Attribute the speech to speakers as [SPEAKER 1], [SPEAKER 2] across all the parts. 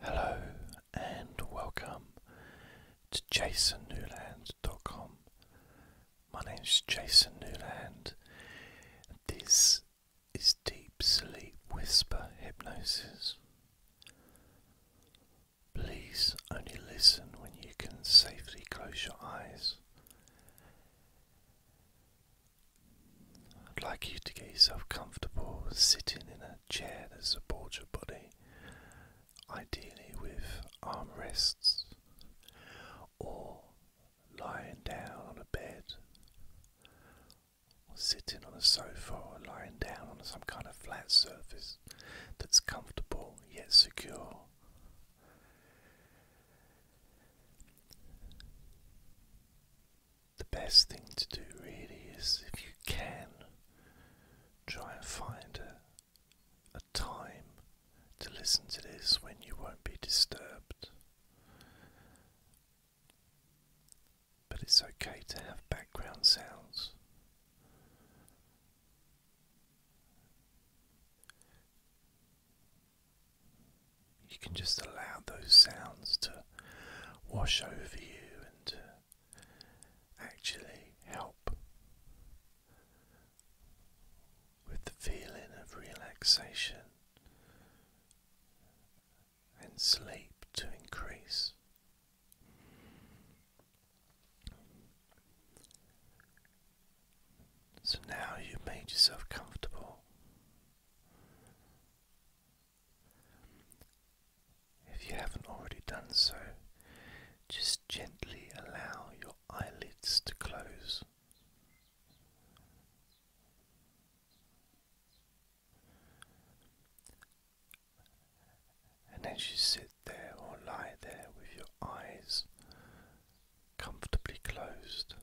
[SPEAKER 1] Hello and welcome to jasonnewland.com. My name is Jason Newland. this is Deep Sleep Whisper Hypnosis. Please only listen when you can safely close your eyes. I'd like you to get yourself comfortable sitting in a chair that supports your body, ideally with armrests, or lying down on a bed, or sitting on a sofa, or lying down on some kind of flat surface that's comfortable yet secure the best thing to do really is if you can try and find a, time to listen to this when you won't be disturbed. But it's okay to have background sounds. You can just allow those sounds to wash over you and actually help with the feeling of relaxation and sleep to increase. So now you made yourself comfortable. If you haven't already done so, just gently allow your eyelids to close. And then you sit there or lie there with your eyes comfortably closed,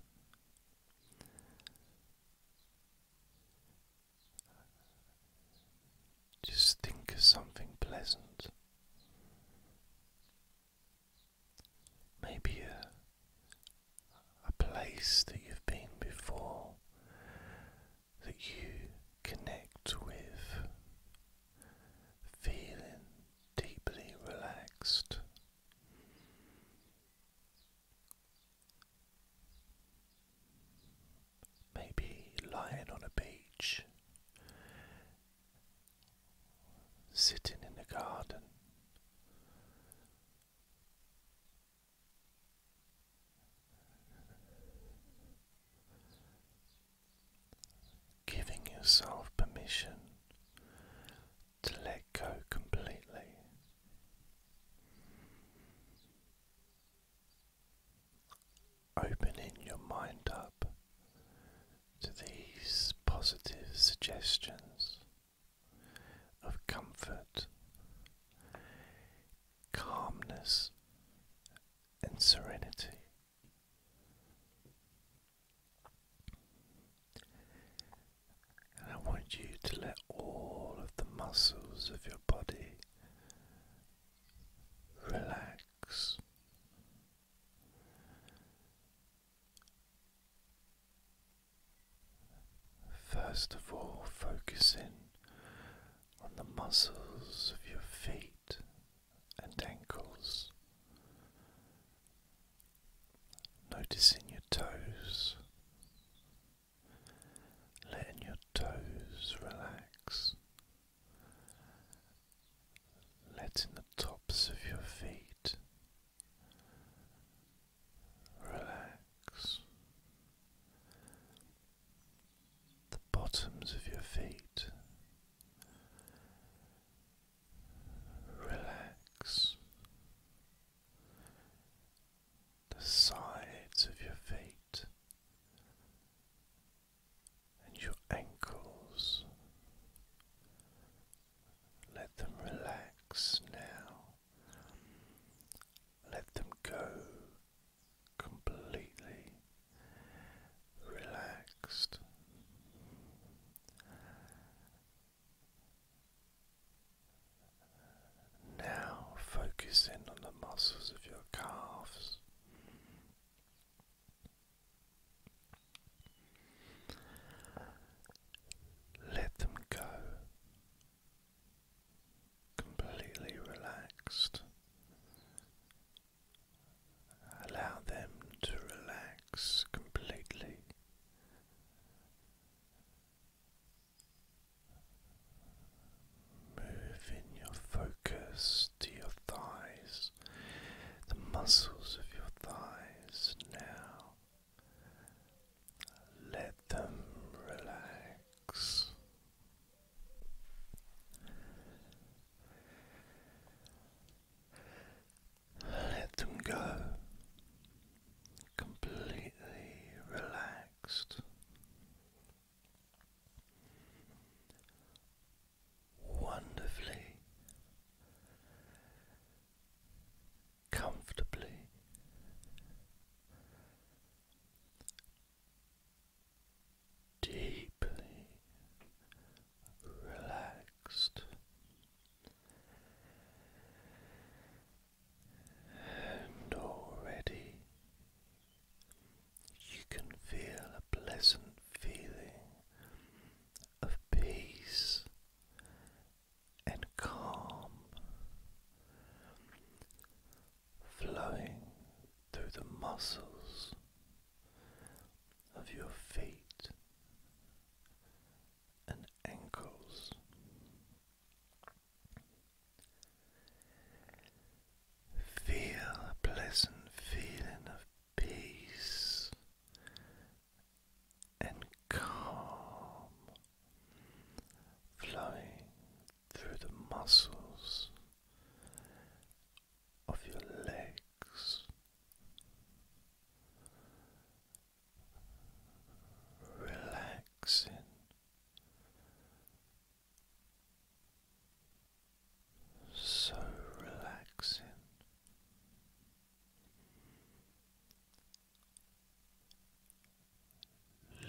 [SPEAKER 1] just think of something pleasant. Maybe a, place that you've been before that you connect with, feeling deeply relaxed. Maybe lying on a beach, sitting in a garden, giving yourself permission to let go completely. Opening your mind up to these positive suggestions of comfort, calmness, and serenity. And I want you to let all of the muscles of your body relax. First of all, focus in on the muscles of your feet and ankles, noticing your toes, letting your toes relax, letting the tops of your feet relax, the bottoms of your feet. Relax the sides of your feet and your ankles. Let them relax now. Let them go completely relaxed. Now focus in on the muscles of your calves. Let them go completely relaxed. Allow them to relax completely. Move in your focus to your thighs, the muscles of your thighs now. Let them relax. Let them go completely relaxed, wonderfully, comfortably. Deeply relaxed and already you can feel a pleasant feeling of peace and calm flowing through the muscles of your feet and ankles. Feel a pleasant feeling of peace and calm flowing through the muscles of your legs. Relaxing so relaxing.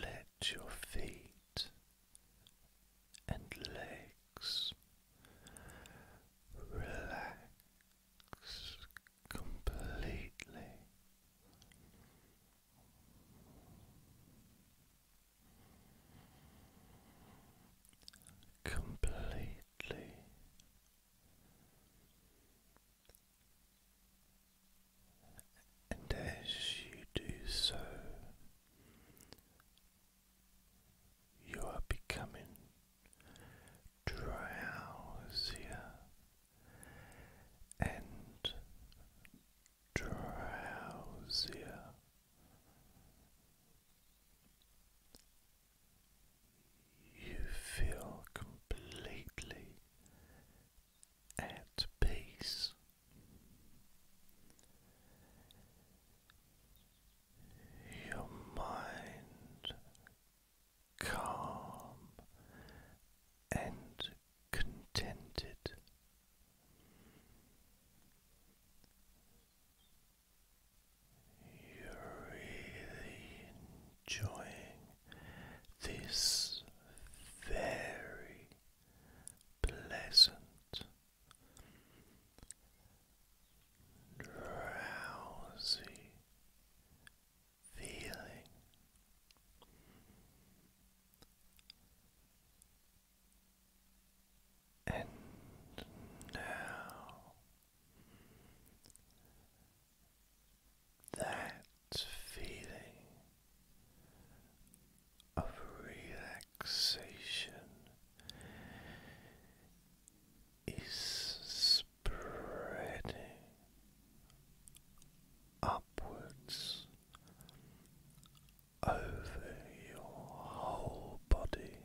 [SPEAKER 1] Let your feet and legs relax completely completely and as you do so you are becoming drowsier and drowsier. You feel completely at peace. Your mind calm and contented. You're really enjoying this very pleasant, drowsy feeling. And now that feeling of relaxation is spreading upwards over your whole body.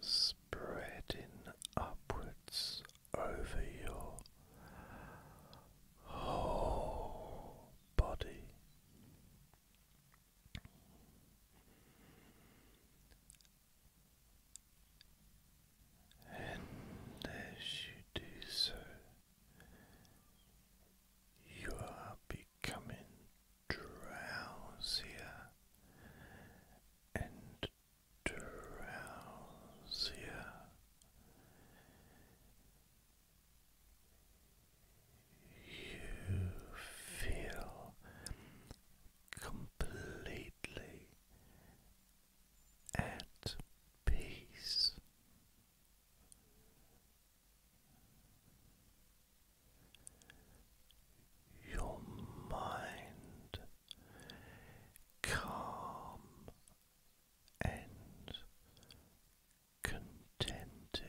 [SPEAKER 1] Spreading upwards over your whole body, and as you do so, you are becoming drowsier and drowsier. You feel completely at peace. Your mind calm and contented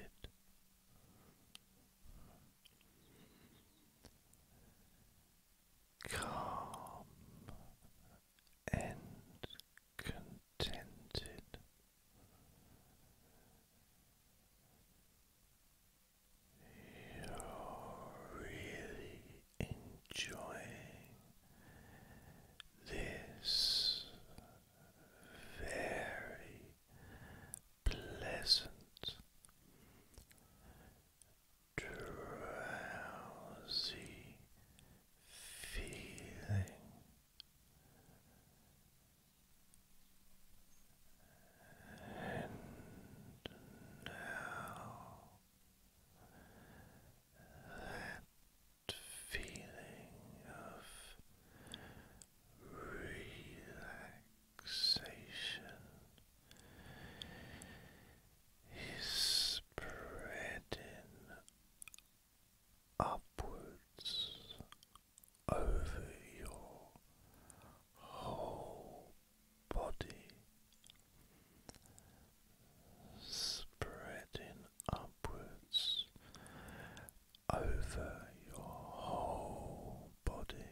[SPEAKER 1] calm and contented. You're really enjoying this very pleasant drowsy feeling. And now that feeling of relaxation is spreading upwards over your whole body, spreading upwards over your whole body.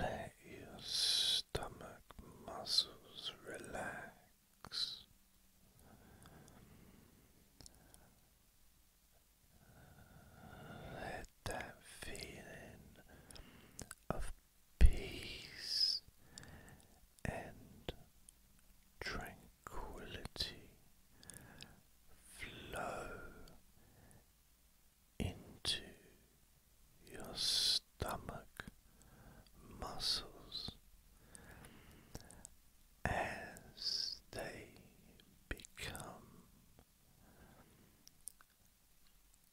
[SPEAKER 1] Let your stomach muscles relax. Let that feeling of peace and tranquility flow into your stomach muscles as they become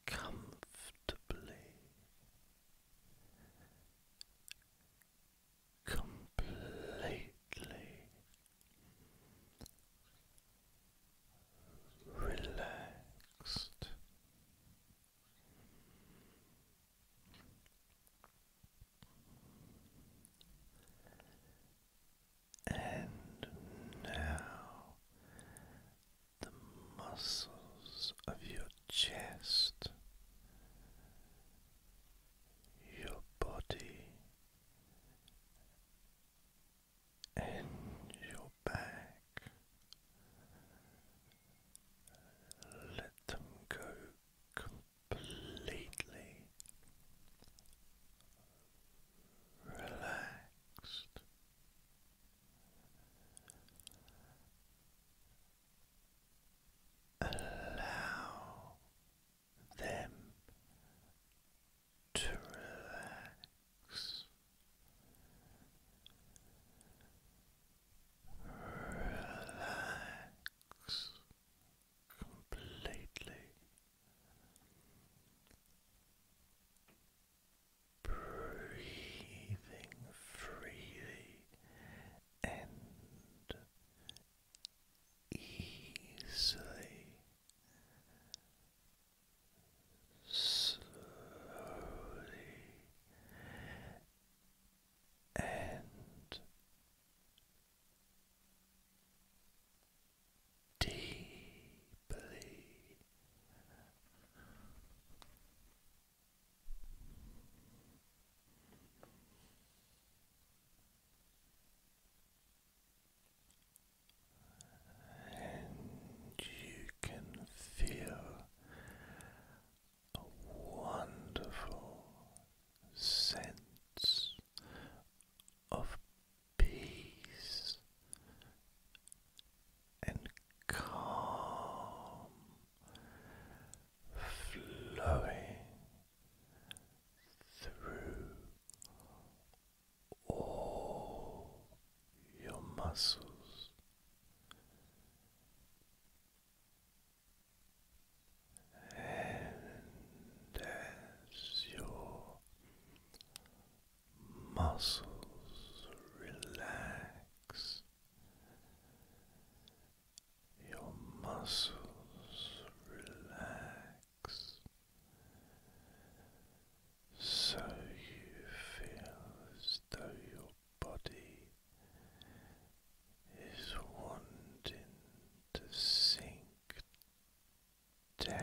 [SPEAKER 1] comfortably completely relaxed. And now the muscles of your chest, your body, and your back. Let them go completely relaxed. Allow them to relax. Relax completely. Breathing freely and easily slowly and deeply and you can feel a wonderful sense of peace and calm flowing through all your muscles and as your muscles relax your muscles relax so you feel as though your body is wanting to sink down,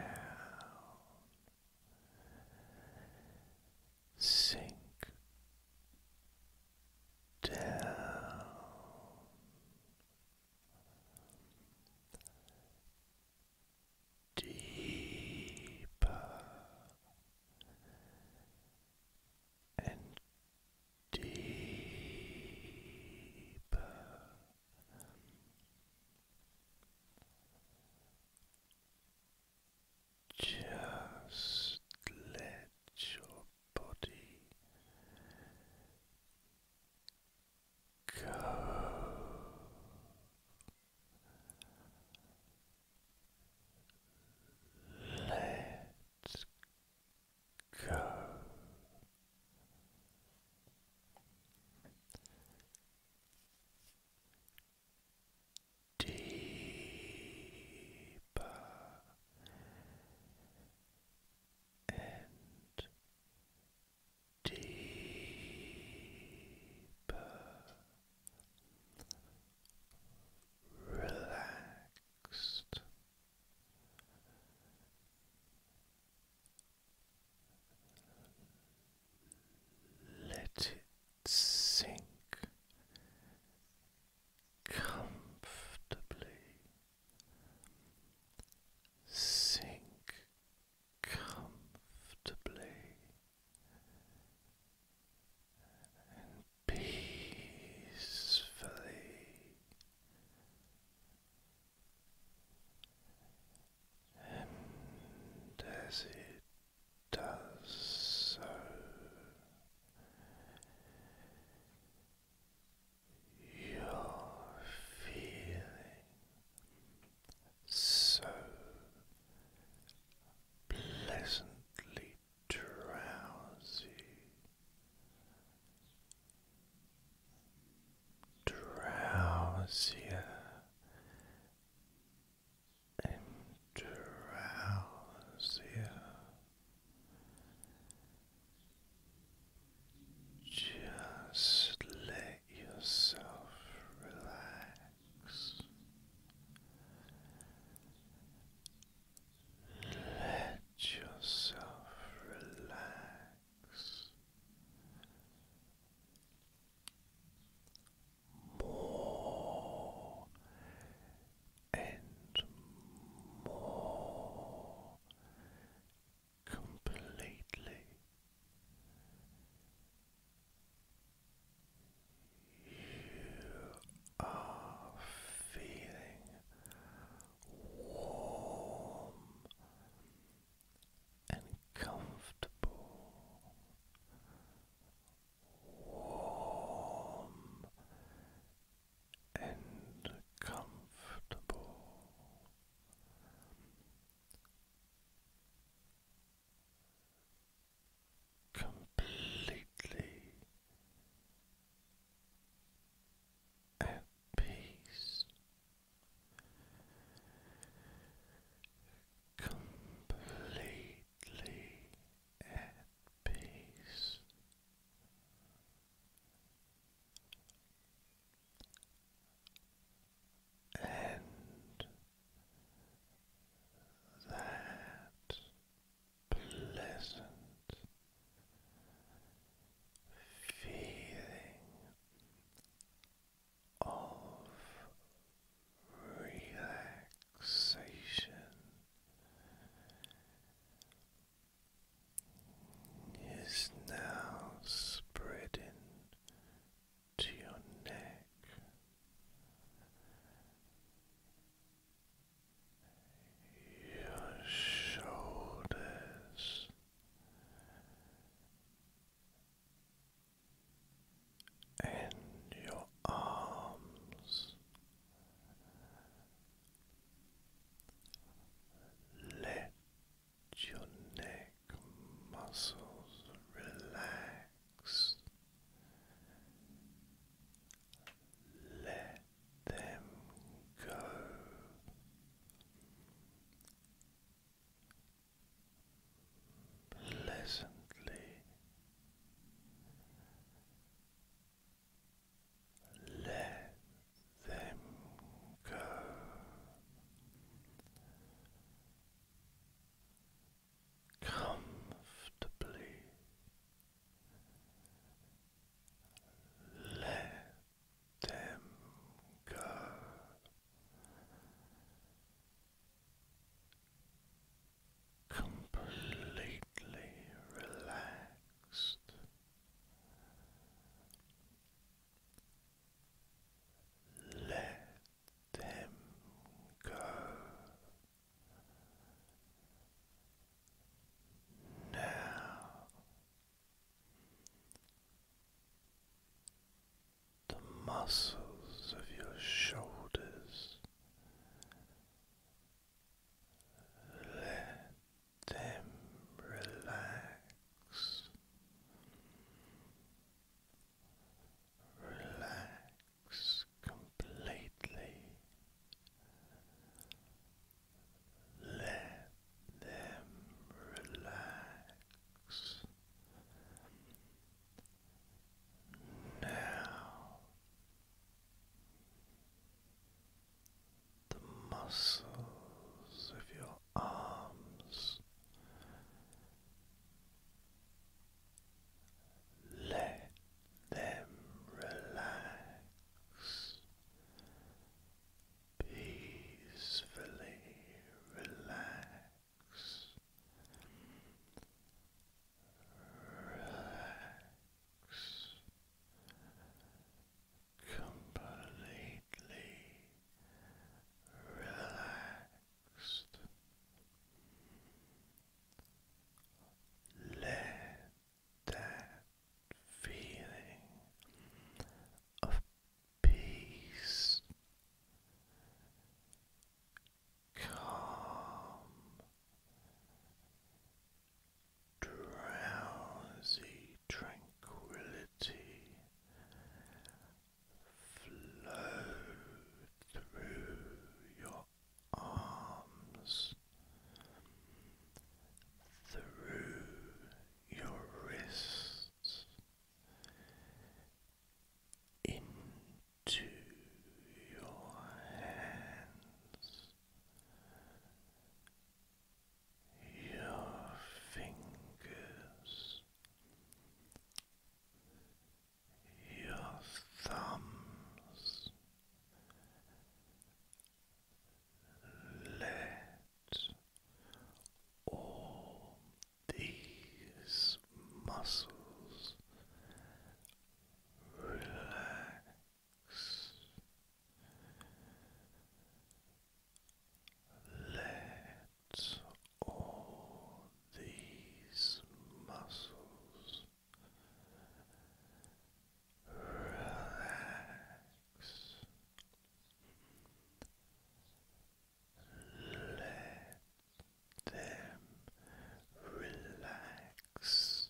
[SPEAKER 1] sink down deeper and deeper. Just let your body Go. let go. Deeper and deeper, relaxed. Let it sink comfortably, sink comfortably and peacefully and as it does so you're feeling so pleasantly drowsy, drowsier and drowsier. Just let let yourself relax. Let yourself relax more and more completely. You are feeling warm and comfortable, warm and comfortable completely at peace, completely at peace. And that pleasant feeling of relaxation. Is now spreading to your neck. Your shoulders and your arms, let your neck muscles relax. Let them go. Pleasantly let them go comfortably let them go. Completely relaxed, let them go. Now the muscles of your shoulders let them relax relax completely. Let them relax. Now the muscles of your arms, let them relax peacefully, relax, relax. Completely relax relaxed. Let that feeling of peace, calm, drowsy tranquility flow through your arms, through your wrists, into your hands. Your fingers, your thumbs. Let all these muscles relax. Let all these muscles relax. Let them relax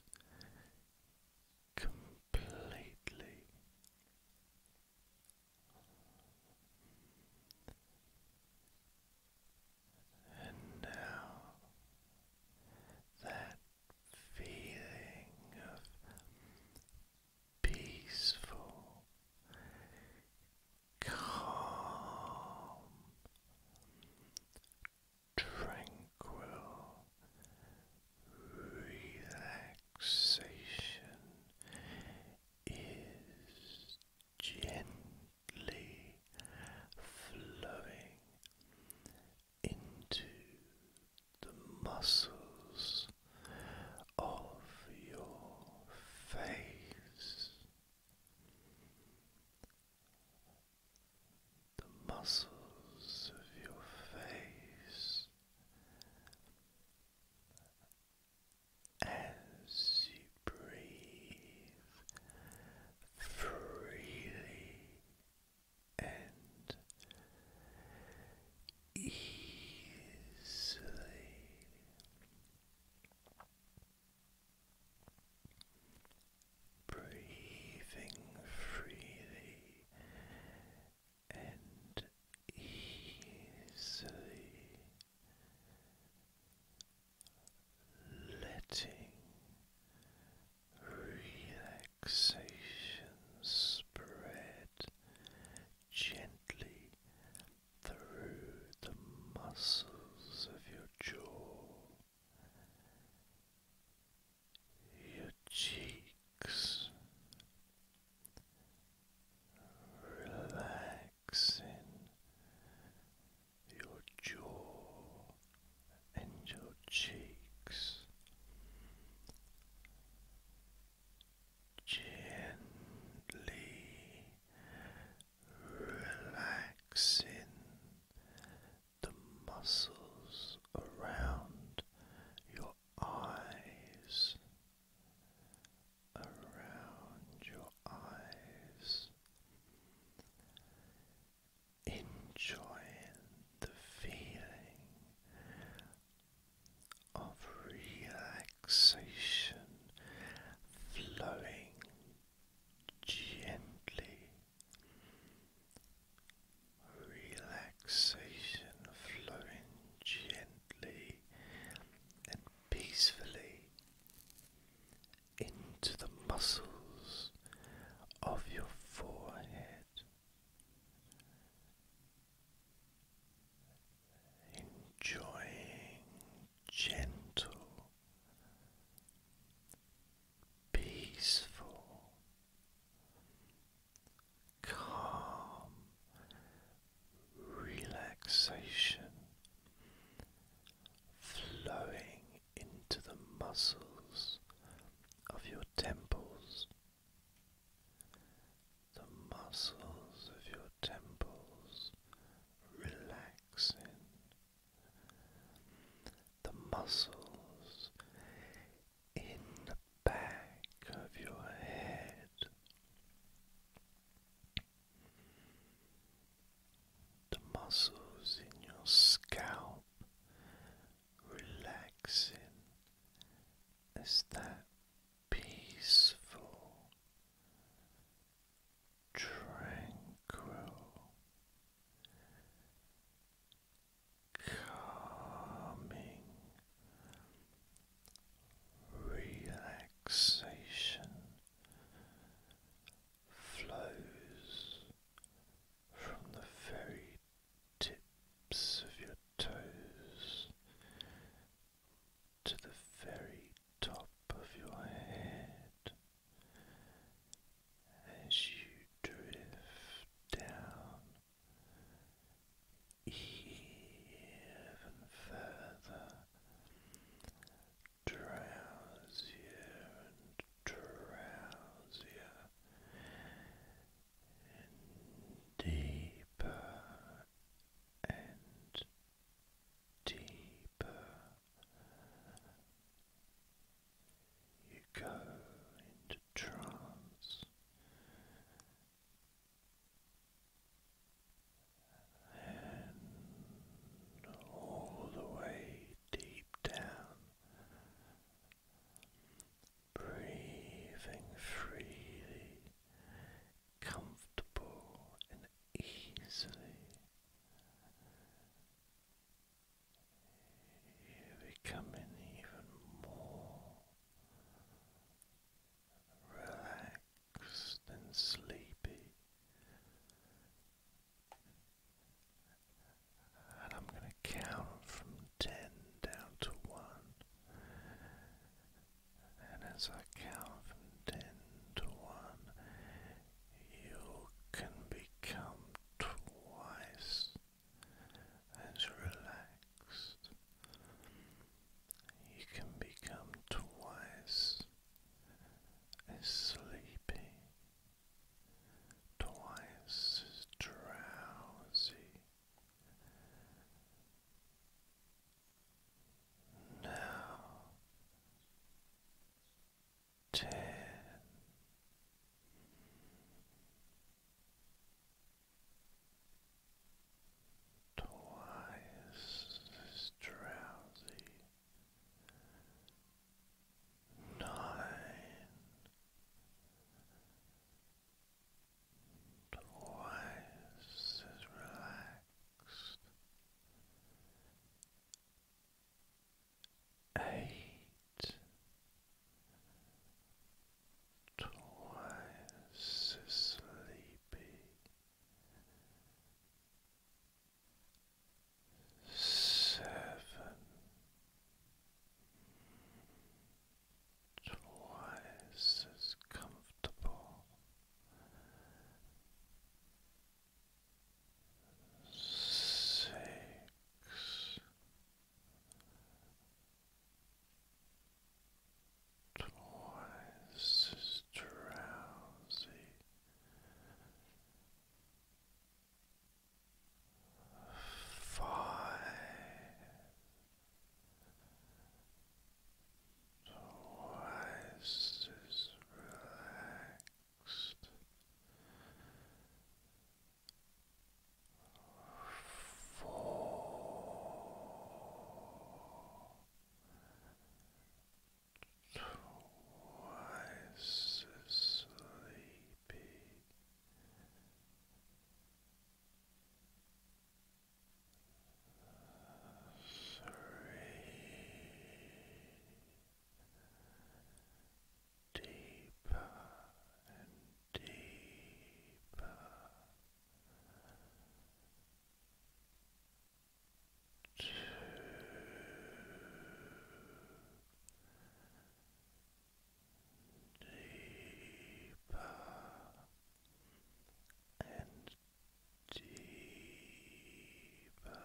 [SPEAKER 1] completely. And now that feeling of peaceful, calm, tranquil relaxation is gently flowing into the muscles of your face. The muscles of your face as you breathe freely and easily. Breathing freely and easily letting relaxation spread gently through the muscles of your jaw. Your cheeks relax relaxing your jaw and your cheeks. Gently relaxing the muscles around your eyes around your eyes, enjoying the feeling of relaxation flowing gently. Relaxation flowing gently and peacefully into the muscles of your forehead, enjoying gentle, peaceful, calm relaxation flowing into the muscles of your temples. The muscles of your temples relaxing. The muscles in the back of your head the muscles in your scalp relaxing as that peaceful, tranquil, calming relaxation flows from the very tips of your toes to the very top of your head as you drift down even further drowsier and drowsier and deeper and deeper you go into trance and all the way deep down, breathing freely, comfortable and easily. You're becoming even more relaxed and sleepy. And I'm going to count from 10 down to 1. And as I count from 10 to 1, you can become twice as relaxed. You can become twice is sleepy, twice drowsy. Now ten. Twice drowsy, nine. Twice as relaxed. Eight. Twice as sleepy seven twice as comfortable six twice as drowsy Five, twice as relaxed. Four, twice as sleepy three deeper and deeper two, deeper and deeper.